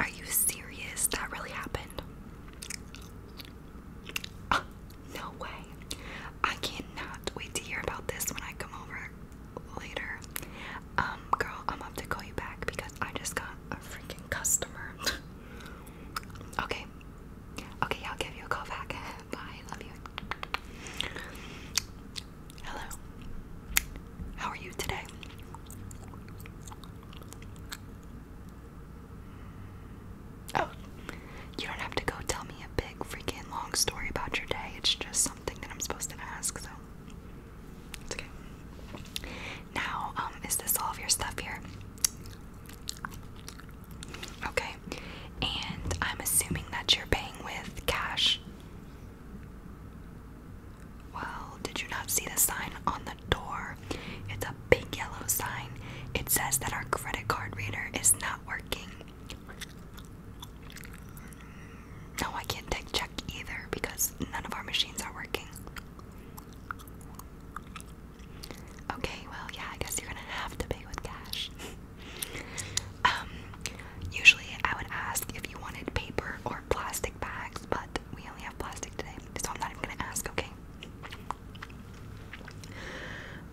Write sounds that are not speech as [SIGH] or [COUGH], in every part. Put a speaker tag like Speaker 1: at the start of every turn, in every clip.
Speaker 1: Are you serious? That really happened? Uh, no way. I cannot wait to hear about this when I come over later. Um, girl, I'm up to call you back because I just got a freaking customer. [LAUGHS] okay. Okay, I'll give you a call back. [LAUGHS] Bye. Love you. Hello. How are you today? Oh, you don't have to go tell me a big freaking long story about your day. It's just something that I'm supposed to ask, so okay. Now, um, is this all of your stuff here? Okay, and I'm assuming that you're paying with cash. Well, did you not see the sign on the door? It's a big yellow sign. It says that our credit card reader is not working. No, I can't take check either because none of our machines are working. Okay, well, yeah, I guess you're gonna have to pay with cash. [LAUGHS] Um, Usually I would ask if you wanted paper or plastic bags, but we only have plastic today, so I'm not even gonna ask, okay?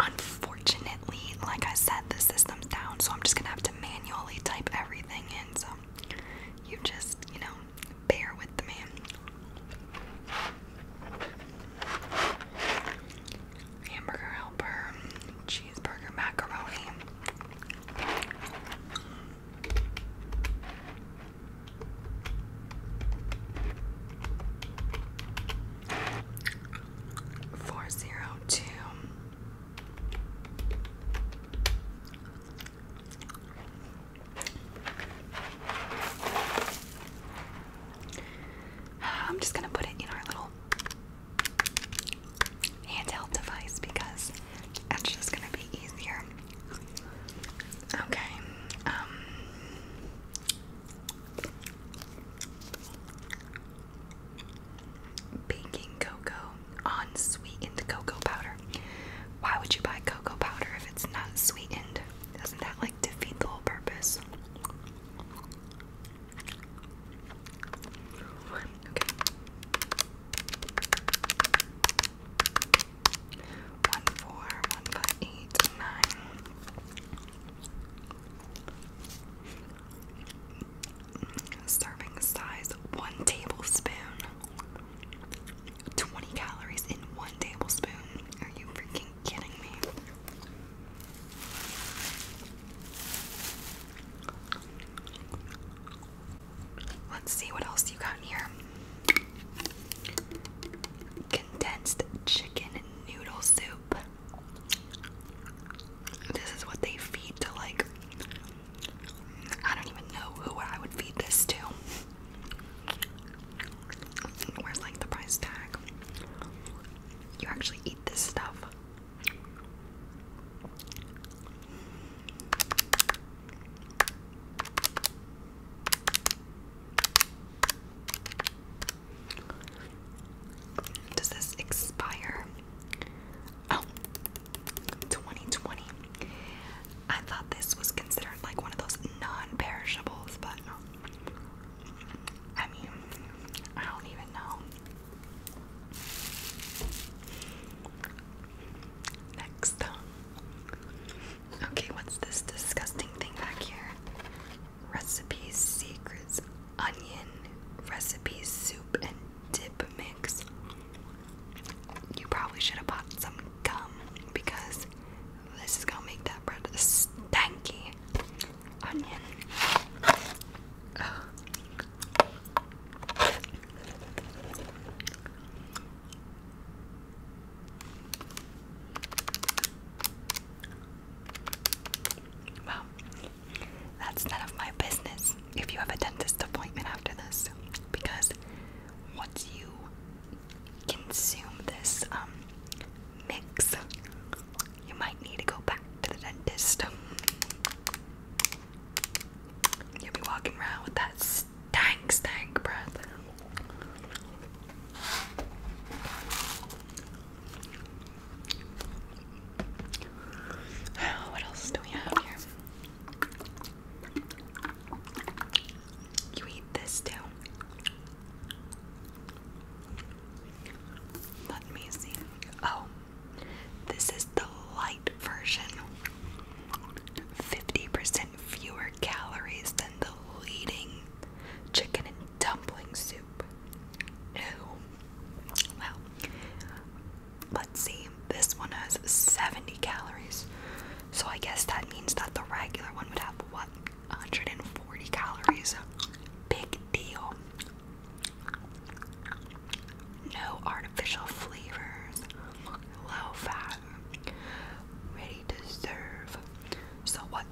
Speaker 1: Unfortunately, like I said, the system's down, so I'm just gonna have to manually type everything in, so you just, you know, bear with me. Hamburger helper, cheeseburger, macaroni. Four zero two [SIGHS] I'm just gonna put it in our little handheld device because it's just gonna be easier. Okay, um, baking cocoa, unsweetened cocoa powder. Why would you buy cocoa powder if it's not sweetened? Doesn't that like defeat the whole purpose? One four, one five, eight, nine. Serving size one tablespoon. 20 calories in one tablespoon. Are you freaking kidding me? Let's see what else you got in here. Condensed chicken noodle soup. This is what they feed to, like, I don't even know who I would feed this to. Where's like the price tag? You actually eat this stuff. Does this expire? Oh, 2020. I thought this was considered like one of those non perishables, but I mean, I don't even know. Next. Okay, what's this disgusting thing back here? Recipes, secrets, onion, recipes, soup, and dip mix. You probably should have bought some gum because this is gonna make that bread stanky. Onion. Well, that's none of my business if you have a dentist appointment after this, because once you consume this um, mix, you might need to go back to the dentist. [LAUGHS] You'll be walking around with that stank, stank breath. [SIGHS] What else do we have here? You eat this too. Let me Oh, this is the light version. 50% fewer calories than the leading chicken and dumpling soup. Ew. Well, let's see. This one has 70 calories. So I guess that means that the regular one would have, what, 140 calories? Big deal. No artificial flavors, low fat, ready to serve. So, what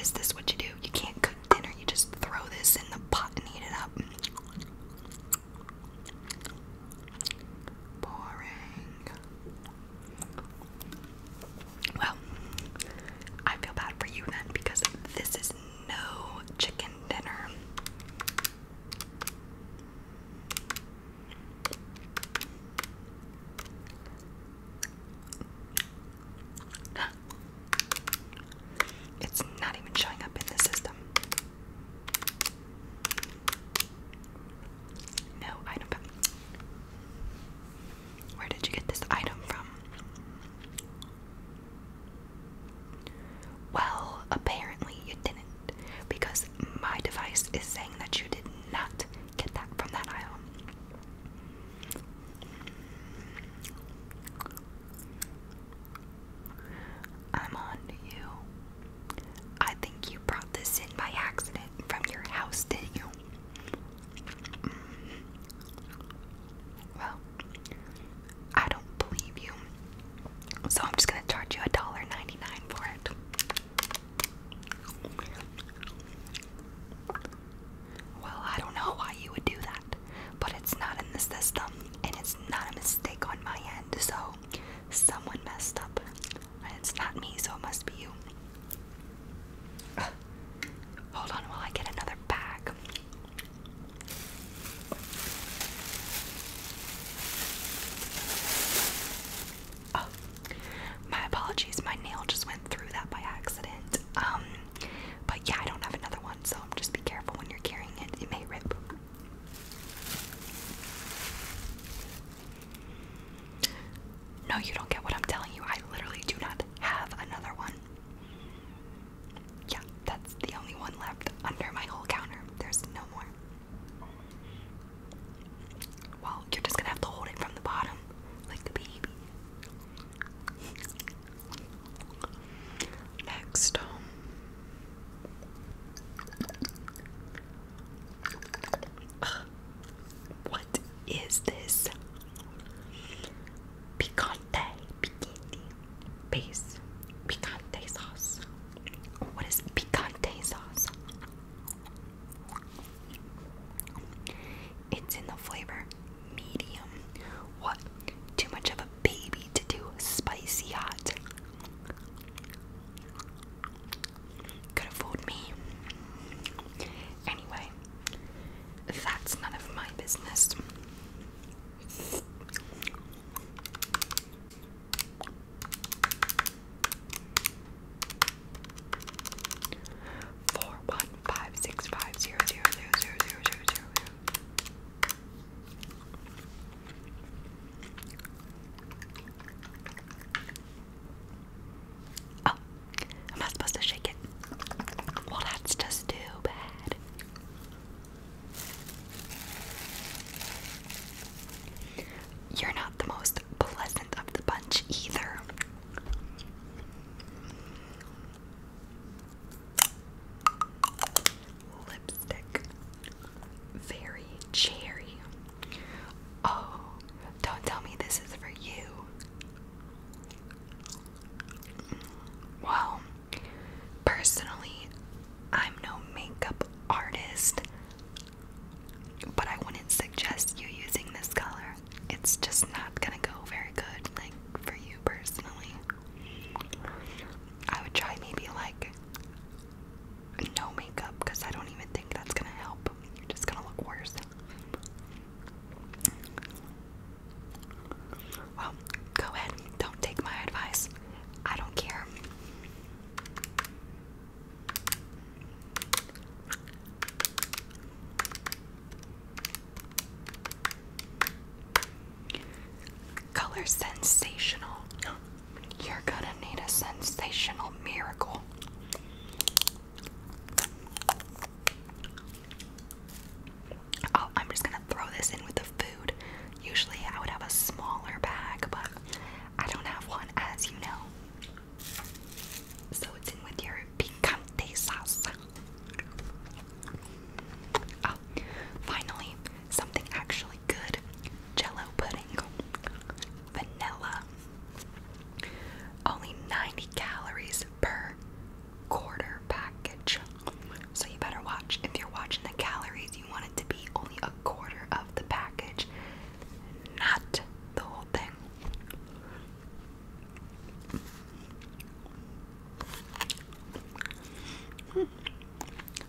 Speaker 1: is this? What you do? You can't cook dinner, you just throw this in the pot and heat it up. Boring. Well, I feel bad for you then because this is no chicken dinner. [GASPS] It's not even showing up in the system. No item. Where did you get this item from? Well, apparently you didn't, because my device is saying that you did not get that from that aisle. I'm on you. I think you brought this in by accident from your house, didn't you? Mm-hmm. Well, I don't believe you. So I'm just gonna charge you $1.99 for it. Well, I don't know why you would do that, but it's not in the system and it's not a mistake on my end, so someone messed up. And it's not me, so it must be you. Hold on while I get another bag. Oh, my apologies. My nail just went through that by accident. Um, but yeah, I don't have another one, so just be careful when you're carrying it. It may rip. No, you don't get what I'm telling you. I literally do not have another one. Yeah, that's the only one left under my whole counter. There's no more. Well, you're just gonna have to hold it from the bottom, like the baby. Next, what is this? Picante, picante, base, picante sauce. What is picante sauce? It's in the flavor medium. What? Too much of a baby to do spicy hot. Could have fooled me. Anyway, that's none of my business. Four one five six five zero zero zero zero zero zero zero zero. Oh, I'm not supposed to shake it. Well, that's just too bad. You're not the most pleasant of the bunch either. Lipstick. Very cherry. Oh, don't tell me this is for you. Well, personally, I'm no makeup artist, but I wouldn't suggest you using this color. It's just not gonna go very good, like for you personally. I would try maybe like no makeup because I don't even think that's gonna help. You're just gonna look worse. Well, go ahead. Don't take my advice. I don't care. Color sensational. You're gonna need a sensational miracle. Oh, I'm just gonna throw this in with the food. Usually I would have a smaller bag, but I don't have one, as you know. So it's in with your picante sauce. Oh, finally, something actually good jello pudding. Vanilla. Only 90 calories per quarter package. So you better watch. If you're watching the calories, you want it to be only a quarter of the package, not the whole thing.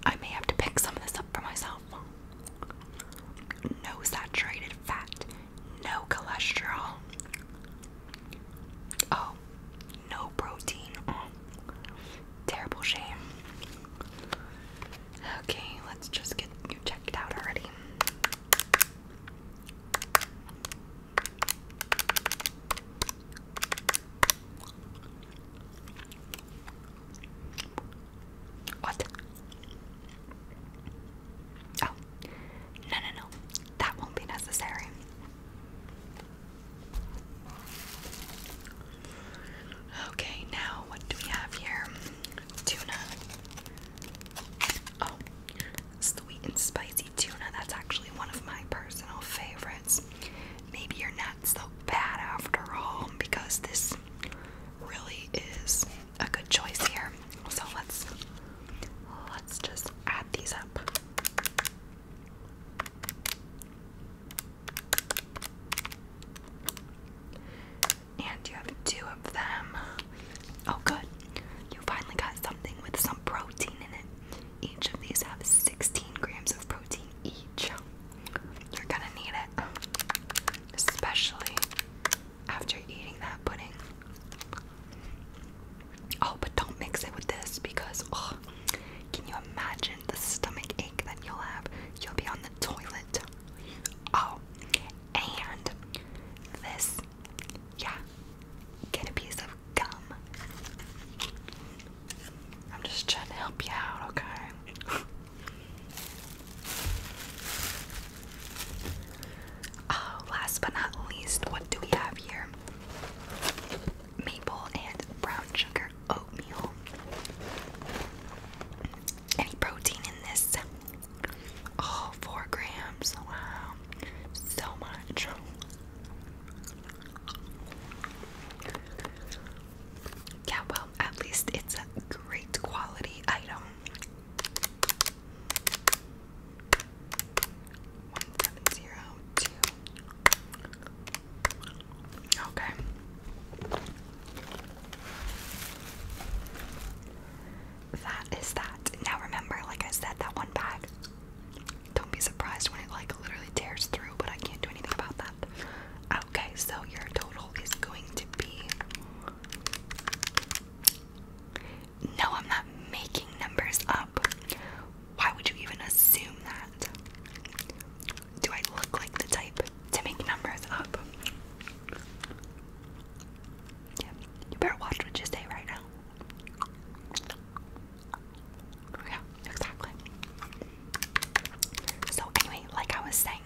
Speaker 1: I may have to pick some of this up for myself. No saturated fat, no cholesterol, Oh, no protein. terrible shame. Okay, let's just get you checked out already. What? Oh, no, no, no. That won't be necessary. Okay, now what do we have here? Tuna. Oh, sweet and spicy tuna. That's actually one of my personal favorites. Maybe you're not bad after all because this really is a good choice here. So let's let's just add these up. And you have two of them. Oh good. You finally got something with some protein in it. Each of these have 16 grams of protein each. You're gonna need it. Especially after eating that pudding. Oh, but don't mix it with this because oh, can you imagine the stomach ache that you'll have? You'll be on the toilet. Oh, and this, yeah, get a piece of gum. I'm just trying to help you out, okay? [LAUGHS] Oh, last but not least, what do we have here? Maple and brown sugar oatmeal. Any protein in this? Oh, four grams. Wow. So much. Yeah, well, at least it's a great quality item. One seven zero two. Okay. That is that. Now remember, like I said, that one bag. Don't be surprised when it like literally tears through, but I can't do anything about that. Okay, so your total is going to be no, I'm not making numbers up. Why would you even assume that? Do I look like the type to make numbers up? Yeah, you better watch what you say right now. Yeah, exactly. So, anyway, like I was saying,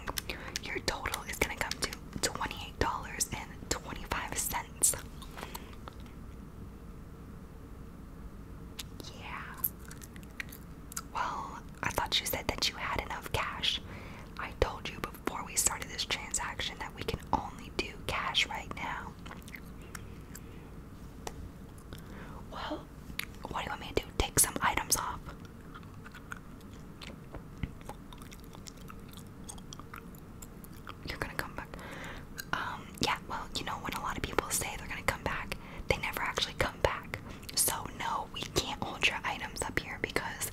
Speaker 1: your total is gonna come to $28.25. Yeah. Well, I thought you said that you had enough cash. I told you before we started this transaction that we can only do cash right now. Well, what do you want me to do? Take some items off. You're gonna come back. Um, yeah, well, you know, when a lot of people say they're gonna come back, they never actually come back. So, no, we can't hold your items up here because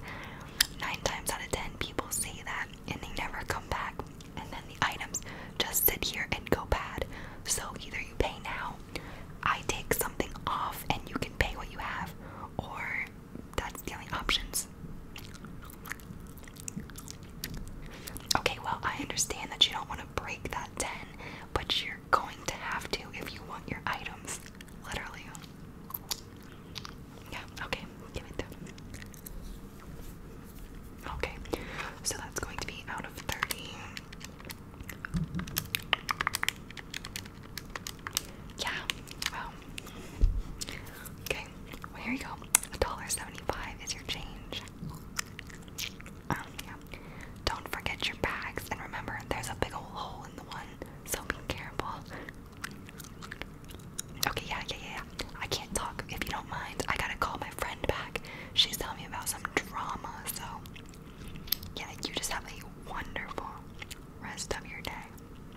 Speaker 1: nine times out of ten people say that and they never come back. And then the items just sit here and go bad. So, either you pay now, I take something off, and you can pay what you have, or that's the only options. Okay, well, I understand that you don't want to break that 10, but you're going to have to if you want your items. Literally. Yeah, okay, give it to Okay, so that's going to be out of 30. Yeah, well. Okay, here you go. $1.75 is your change. Um, don't forget your bags, and remember, there's a big old hole in the one, so be careful. Okay, yeah, yeah, yeah. I can't talk if you don't mind. I gotta call my friend back. She's telling me about some drama, so. Yeah, you just have a wonderful rest of your day.